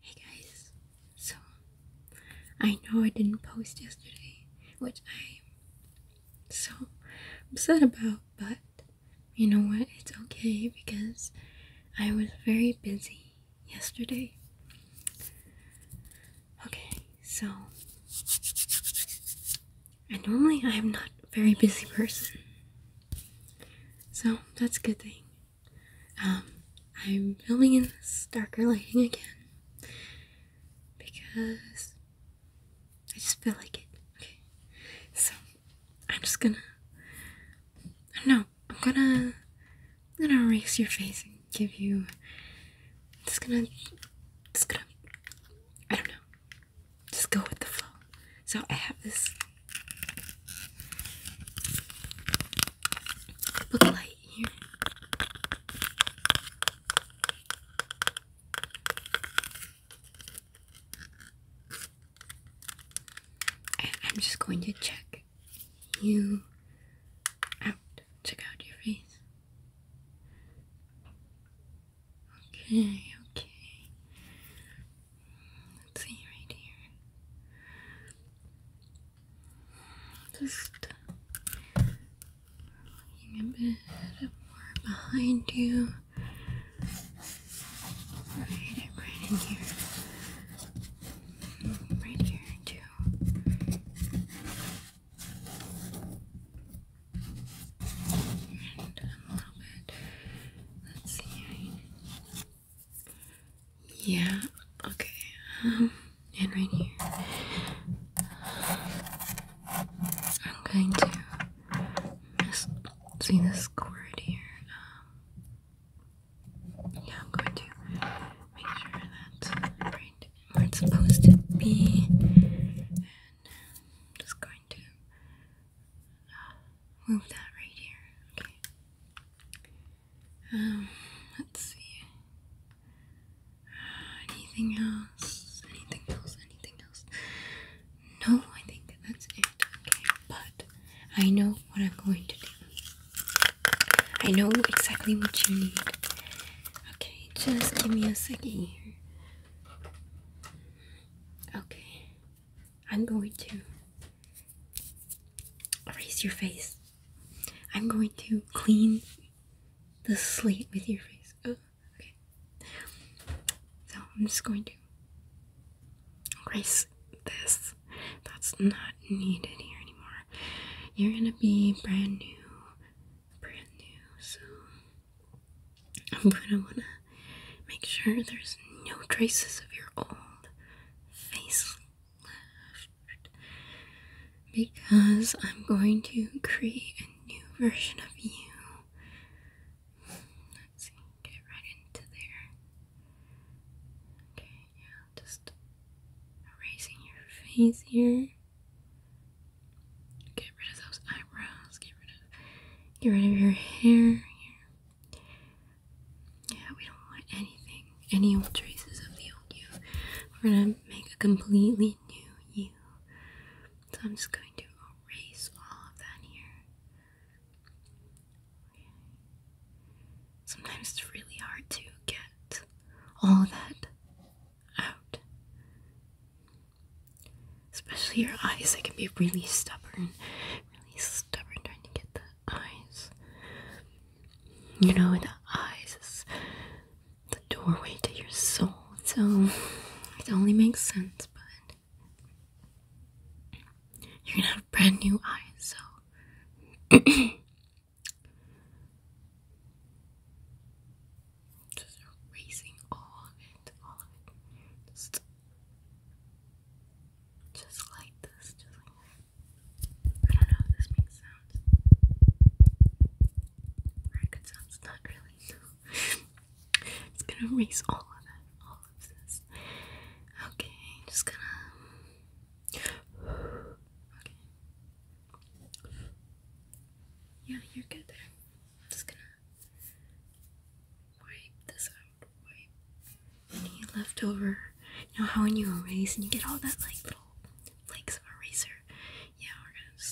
Hey guys, so I know I didn't post yesterday, which I'm so upset about, but you know what? It's okay because I was very busy yesterday. Okay, so and normally I'm not a very busy person so that's a good thing. Um, I'm filming in this darker lighting again because I just feel like it. Okay, so I'm just gonna. I am just going to No, I'm gonna. I'm gonna erase your face and give you. Just gonna. Just gonna. I don't know. Just go with the flow. So I have this book light here. I'm just going to check you out. Check out your face. Okay, okay. Let's see right here. Just looking a bit more behind you. Right, right in here. Right here too. And a little bit Let's see. Yeah, okay. Um, and right here. I'm going to miss see this cord here. Um, yeah, I'm going to make sure that's right where it's supposed to be. And I'm just going to uh, move that right here. Okay. Um, let's see. Uh, anything else? Anything else? Anything else? No, I think that's it. Okay, but I know what I'm going to do. I know exactly what you need. Okay, just give me a second here. Okay. I'm going to erase your face. I'm going to clean the slate with your face. Oh, okay. So I'm just going to erase this. That's not needed here anymore. You're gonna be brand new. Brand new, so but I want to make sure there's no traces of your old face left because I'm going to create a new version of you. Let's get right into there. Okay, yeah, just erasing your face here. Get rid of those eyebrows. Get rid of, get rid of your hair here. Yeah, we don't want anything, any old traces of the old you. We're gonna make a completely new you. So I'm just going to erase all of that here. Sometimes it's really hard to get all that out. Especially your eyes, they can be really stubborn, really stubborn trying to get the eyes. You know, the eyes is the doorway to your soul, so it only makes sense, but you're gonna have brand new eyes, so just erasing all of all of it. Just like this, I don't know if this makes sounds. Or sounds not really. it's gonna erase all of it, all of this. Okay, just gonna. Okay. Yeah, you're good there. just gonna wipe this you left over, You know how when you erase and you get all that like little flakes of eraser. Yeah, we're gonna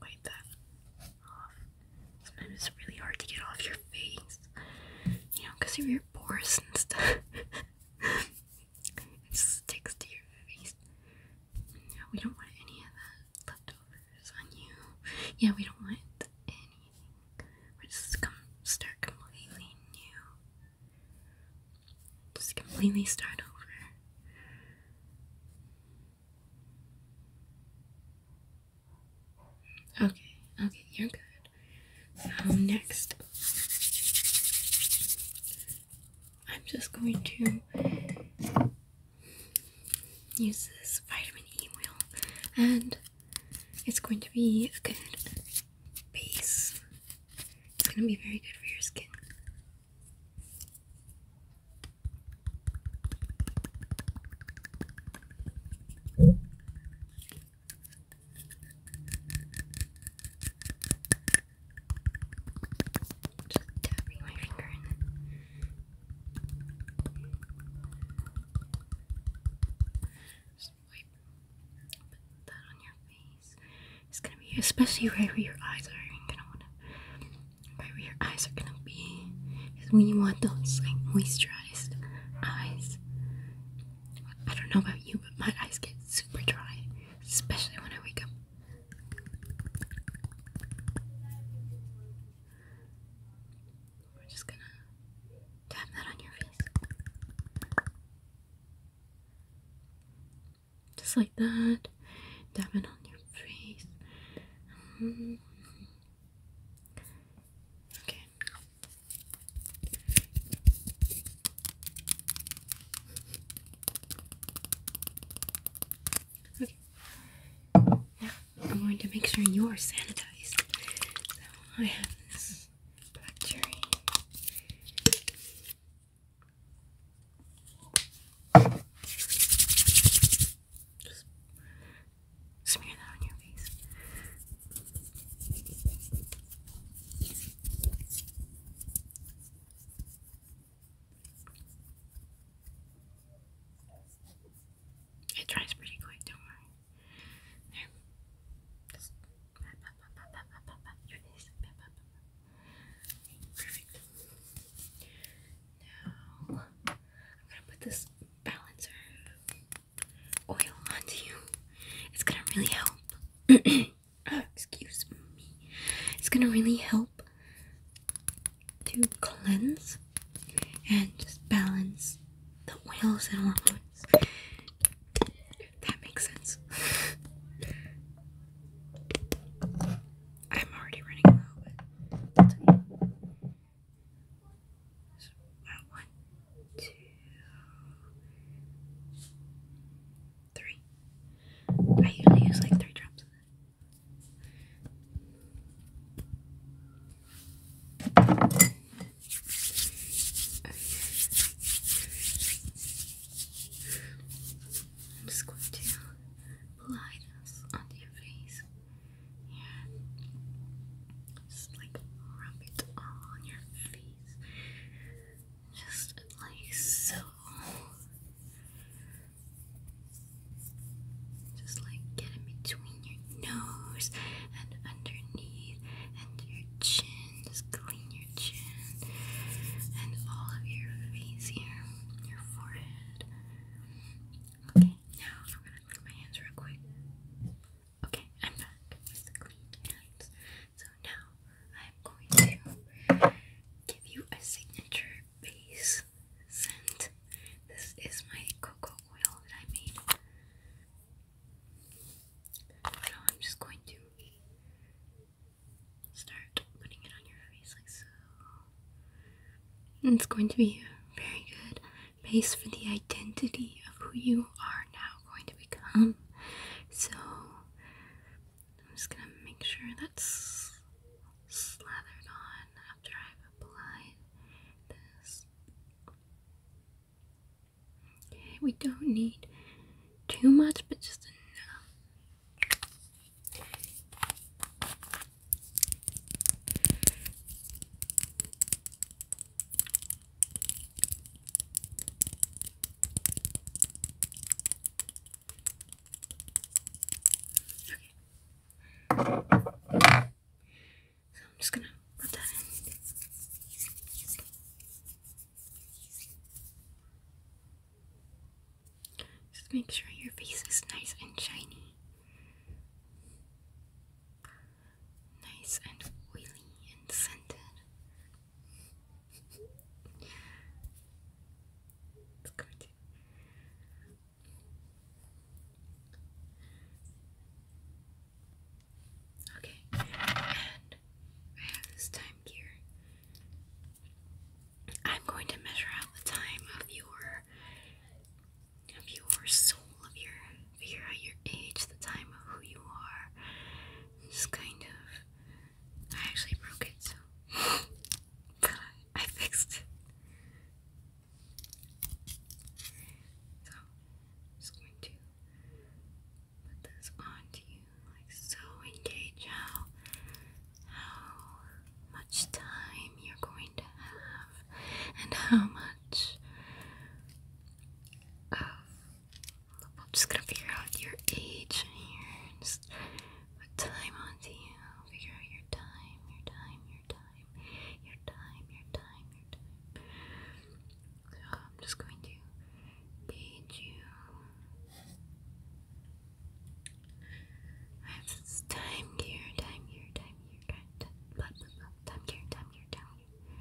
wipe that off. Sometimes it's really hard to get off your face, you know, because of your pores and stuff. it sticks to your face. Yeah, we don't want any of that leftovers on you. Yeah, we don't want any we're just gonna start completely new. Just completely start over. Okay, okay, you're good. So next, I'm just going to use this vitamin E oil and it's going to be a good base. It's going to be very good for your skin. Just tapping my finger in just wipe. that on your face. It's gonna be especially right where your eyes are You're gonna wanna right where your eyes are gonna be. Because when you want those like moisturized eyes. I don't know about you, but my eyes get super dry, especially when I wake up. We're just gonna tap that on your face. Just like that. Tap it on your face. Mm-hmm. Okay. Okay. Now I'm going to make sure you're sanitized. So I have this black Just smear that on your face. It dries pretty quick, don't worry. Perfect. Now I'm gonna put this balancer oil onto you. It's gonna really help. Excuse me. It's gonna really help to cleanse and just balance the oils and hormones. If that makes sense. I'm already running low, but that's one, two, three. I usually use like three drops Okay. I'm just going to apply this on your face. And just like rub it all on your face. Just like so. Just like get in between your nose and underneath and your chin. Just clean your chin and all of your face here, your forehead. Okay, now I'm gonna clean my hands real quick. Okay, I'm back with clean hands. So now I'm going to give you a signature base this This is my cocoa oil that I made. Now I'm just going to start putting it on your face like so. And it's going to be very good base for the identity of who you are now going to become. So I'm just gonna make sure that's slathered on after I've this. Okay, we don't need too much, but just enough. So I'm just gonna put that in. Just make sure your face is nice and shiny. Nice and oily and scented. It's good. Okay, and I have this time gear. I'm going to measure out the time of your of your soul, of your figure your age, the time of who you are. It's kind of I actually broke it so but I fixed it. So, just going to put this onto you like so, engage how how much time you're going to have and how much of I'm just gonna figure out your age here. Just put time onto you. Figure out your time, your time, your time your time, your time, your time. So I'm just going to page you. I have this time here, time here, time here, time, time, time here, time here, time here.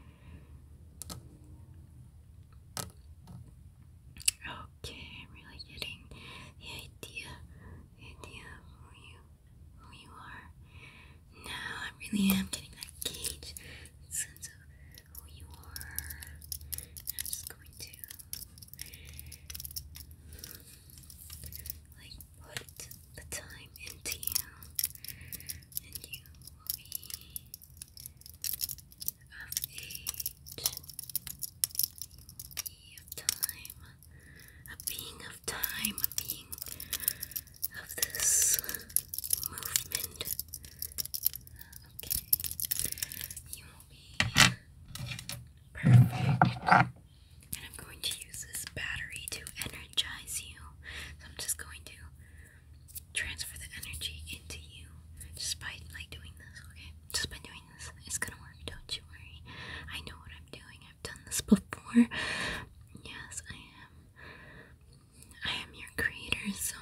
Okay, I'm really getting the idea, idea for you who you are. Now I really am getting that gauge, sense of who you are. I'm just going to like put the time into you, and you will be of age. You will be of time, a being of of being of this movement. Okay, you will be perfect. And I'm going to use this battery to energize you. So I'm just going to transfer the energy into you just by like doing this, okay? Just by doing this, it's gonna work. Don't you worry. I know what I'm doing. I've done this before. Yes, I am. I am your creator, so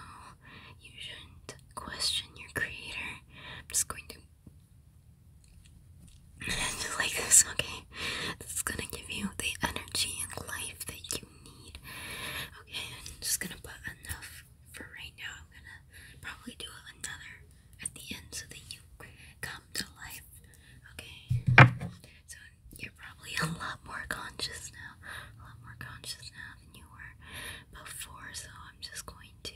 you shouldn't question your creator. I'm just going to. like this, okay? This is gonna give you the energy and life that you need. Okay, I'm just gonna put enough for right now. I'm gonna probably do another at the end so that you come to life. Okay, so you're probably a lot more conscious now, a lot more conscious now than you were before. So I'm just going to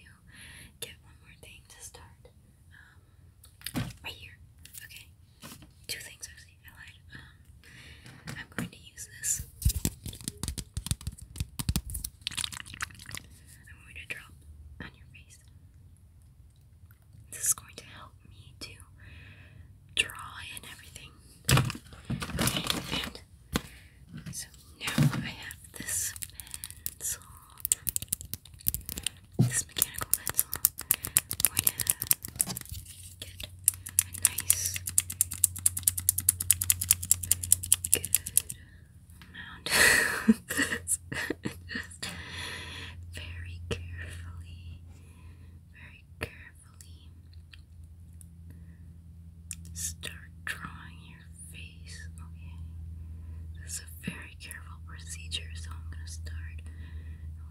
get one more thing to start. Um, right here. Okay, two things actually. I um, I'm going to use this. I'm going to drop on your face. This is going to help me to draw in everything. and so now I have this pencil, this mechanical pencil. I'm going to get a nice, good amount. very carefully, very carefully start drawing your face. Okay, this is a very careful procedure, so I'm gonna start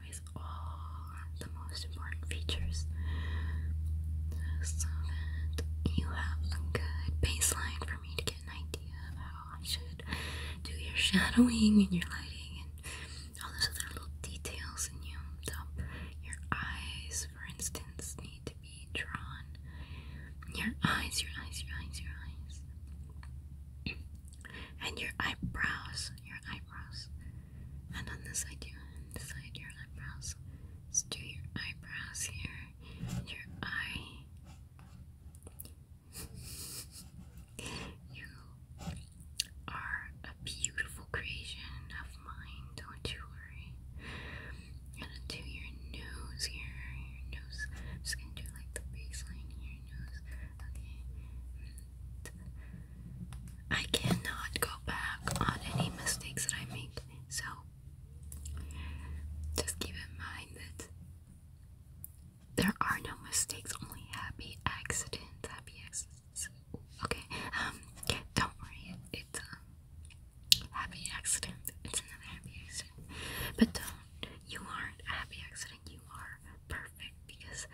with all the most important features so that you have a good baseline for me to get an idea of how I should do your shadowing and your lighting and all those other little details in you. So your eyes, for instance, need to be drawn. Your eyes, your eyes, your eyes, your eyes. And your eyebrows, your eyebrows. And on this side, you side, your eyebrows. Let's do your eyebrows here, your eye, you are a beautiful creation of mine, don't you worry. And into your nose here, your nose. i just gonna do like the baseline here, nose. Okay. I cannot go back on any mistakes that I make, so just keep in mind that there are no mistakes, only happy accidents. Happy accidents. Okay. Um. Don't worry. It's a um, happy accident. It's another happy accident. But don't. You aren't happy accident. You are perfect because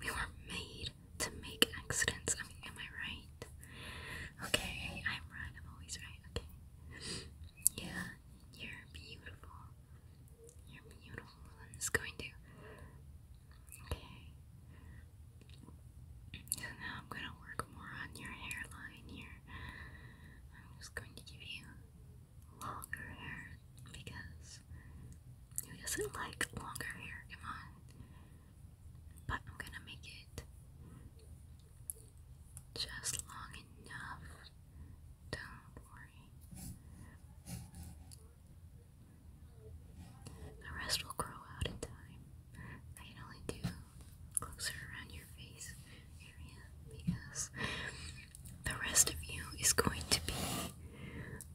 we were made to make accidents. am I right? Okay. I'm right. I'm always right. Okay. Yeah. You're beautiful. You're beautiful. I'm just going to. Okay. So now I'm gonna work more on your hairline here. I'm just going to give you longer hair because who doesn't like longer hair? Come on. But I'm gonna make it just long enough. Don't worry the rest will grow out in time. I can only do closer around your face area because the rest of you is going to be.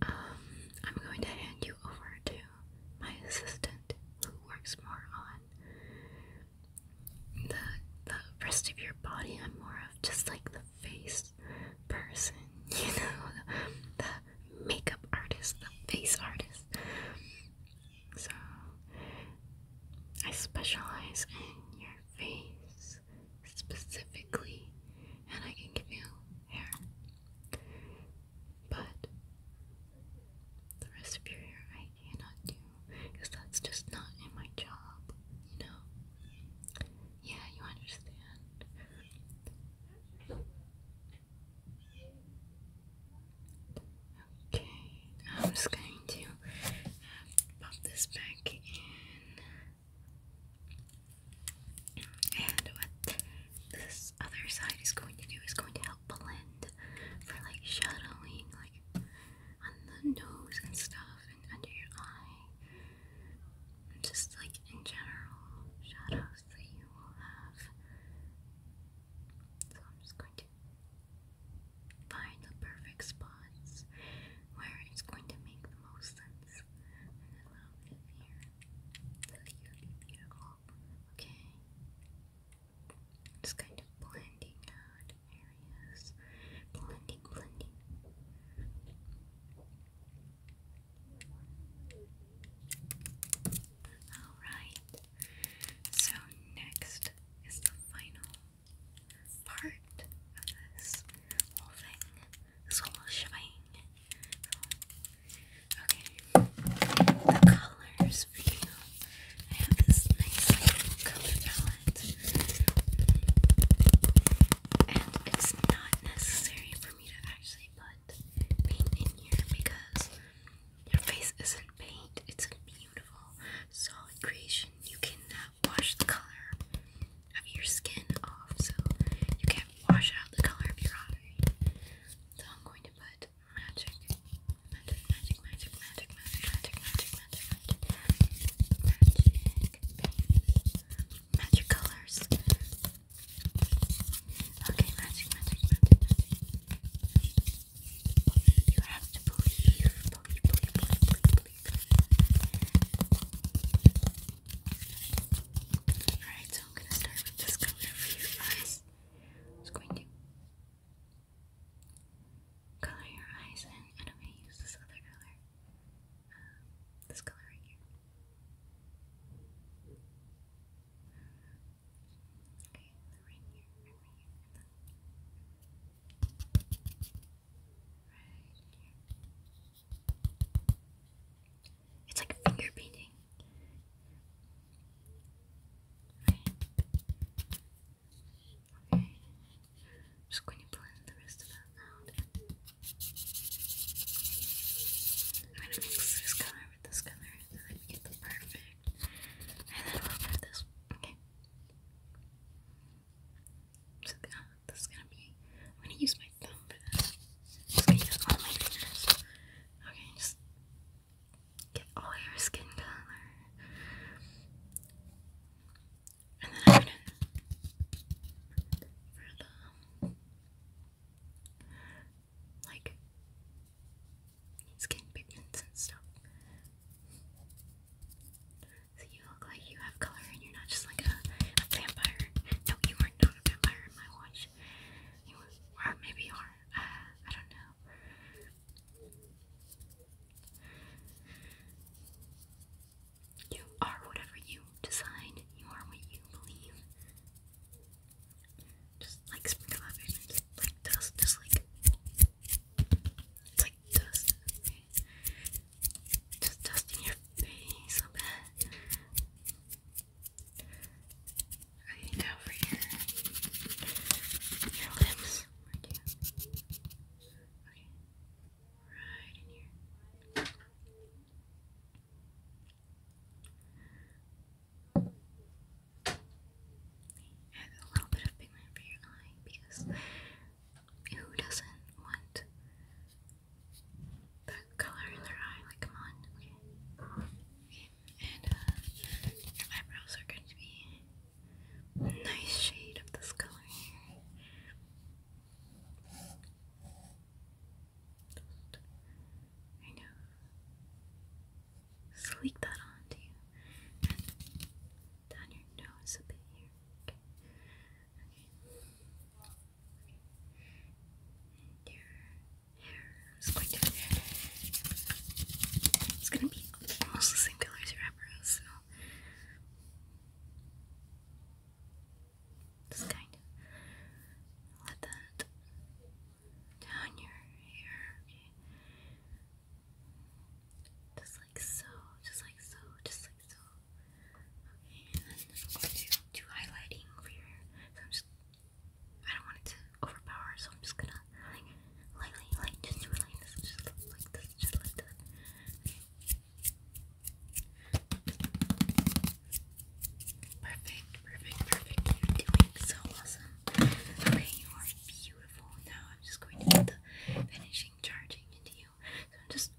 Um, I'm going to hand you over to my assistant who works more on the the rest of your body. I'm more of just like the face person, you know, the makeup artist, the face artist. So I specialize in your face specifically, and I can give you hair, but the rest of your hair I cannot do because that's just not in my job, you know. Yeah, you understand. Okay, I'm just going to pop this back in. And what this other side is going to do is going to help blend for like shadowing, like on the nose and stuff and under your eye. And just like in general shadows that you will have. So I'm just going to find the perfect spots where it's going to make the most sense. And a little bit here. that will be beautiful. Okay. Just kind of blending out Blending, blending. Alright, so next is the final part of this whole thing, this whole shebang. Okay, the colors for I have this nice color palette and it's not necessary for me to actually put paint in here because your face isn't paint, it's a beautiful solid creation. You cannot wash the color of your skin off, so you can't wash out the color of your eye. So I'm going to put magic, magic, magic, magic, magic, magic, magic, magic, magic pens, magic colors. Okay, magic, magic, magic, You have to believe, believe, believe, believe, believe. Alright, so I'm gonna start with this color for your eyes. It's going to color your eyes and I'm gonna use this other color this color right here. Okay, right here, right here, right here. It's like finger painting. Okay. I'm just going to blend the rest of that out. I'm going to mix this color with this color so that get the perfect. And then we'll put this. Okay. So uh, this is going to be. I'm going to use my thumb for this. Just going to use all my fingers. Okay, just get all your skin color. And then I'm gonna like skin pigments and stuff. So you look like you have color and you're not just like a, vampire. No, you are not a vampire in my watch. You are, or maybe are. Uh, I don't know. You are whatever you decide. You are what you believe. Just like sprinkle Like dust. Just like. like dust. Just dust in your face a bit. Okay, now for your, your lips. Okay. Add a little bit of pigment for your eye because who doesn't want the color in their eye? Like, come on, okay. And uh, your eyebrows are going to be nice shade of this color I know. Sleek that onto you. down your nose a bit here. Okay. Okay. okay. your hair is going to It's gonna be almost the same color as your eyebrows, just kind of let that down your hair, okay? Just like so, just like so, just like so. Okay, and then I'm going to do highlighting for your hair. I'm just, I don't want it to overpower, so I'm just gonna like lightly, just really just like this, just like that. Perfect, perfect, perfect. You're doing so awesome. Okay, you are beautiful. Now I'm just going to get the finishing charging into you. So I'm just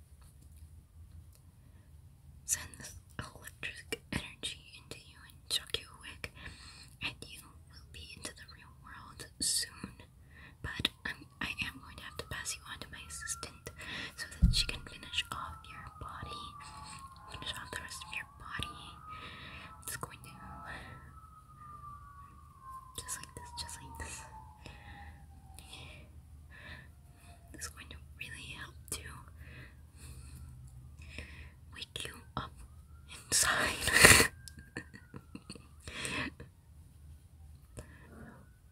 send this electric energy into you and chuck you a And you will be into the real world soon. But I'm, going to have to pass you on to my assistant so that she can finish off your body, finish off the rest of your body. I'm going to, just like this, just like this. This is going to really help to wake you up inside.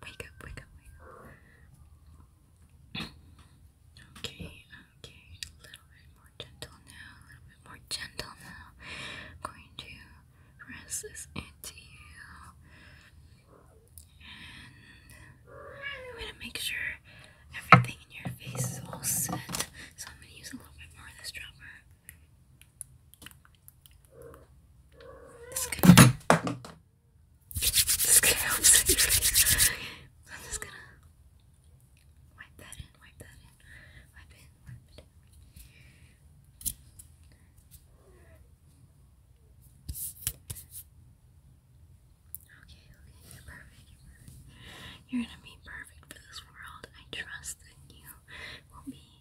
Wake up, wake up, wake up. okay, okay. A little bit more gentle now, a little bit more gentle now. I'm going to press this into you. And I'm going to make sure everything in your face is all set. So I'm going to use a little bit more of this dropper. This is going I'm just gonna wipe that in, wipe that in, wipe it, wipe it in. Okay, okay, you're perfect, you're perfect. You're gonna be perfect for this world. I trust that you will be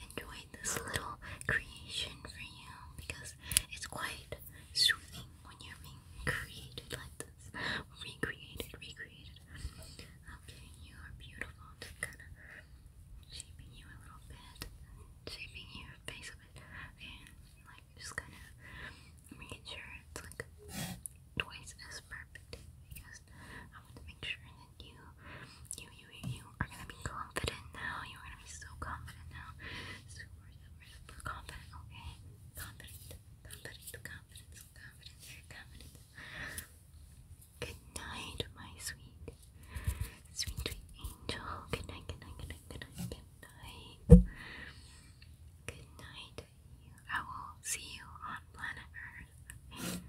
enjoyed this little creation for you because it's quite soothing when you're being created like this. Recreated, recreated. Okay, you are beautiful. Just kind of shaping you a little bit, shaping your face a bit. and like just kind of making sure it's like twice as perfect because I want to make sure that you, you, you, you are gonna be confident now. You are gonna be so confident now. Super, super, super confident, okay? Confident, confident, confidence, confidence, confidence. Good night, my sweet, sweet, sweet angel. Good night, good night, good night, good night, good night. Good night. I will see you on planet Earth.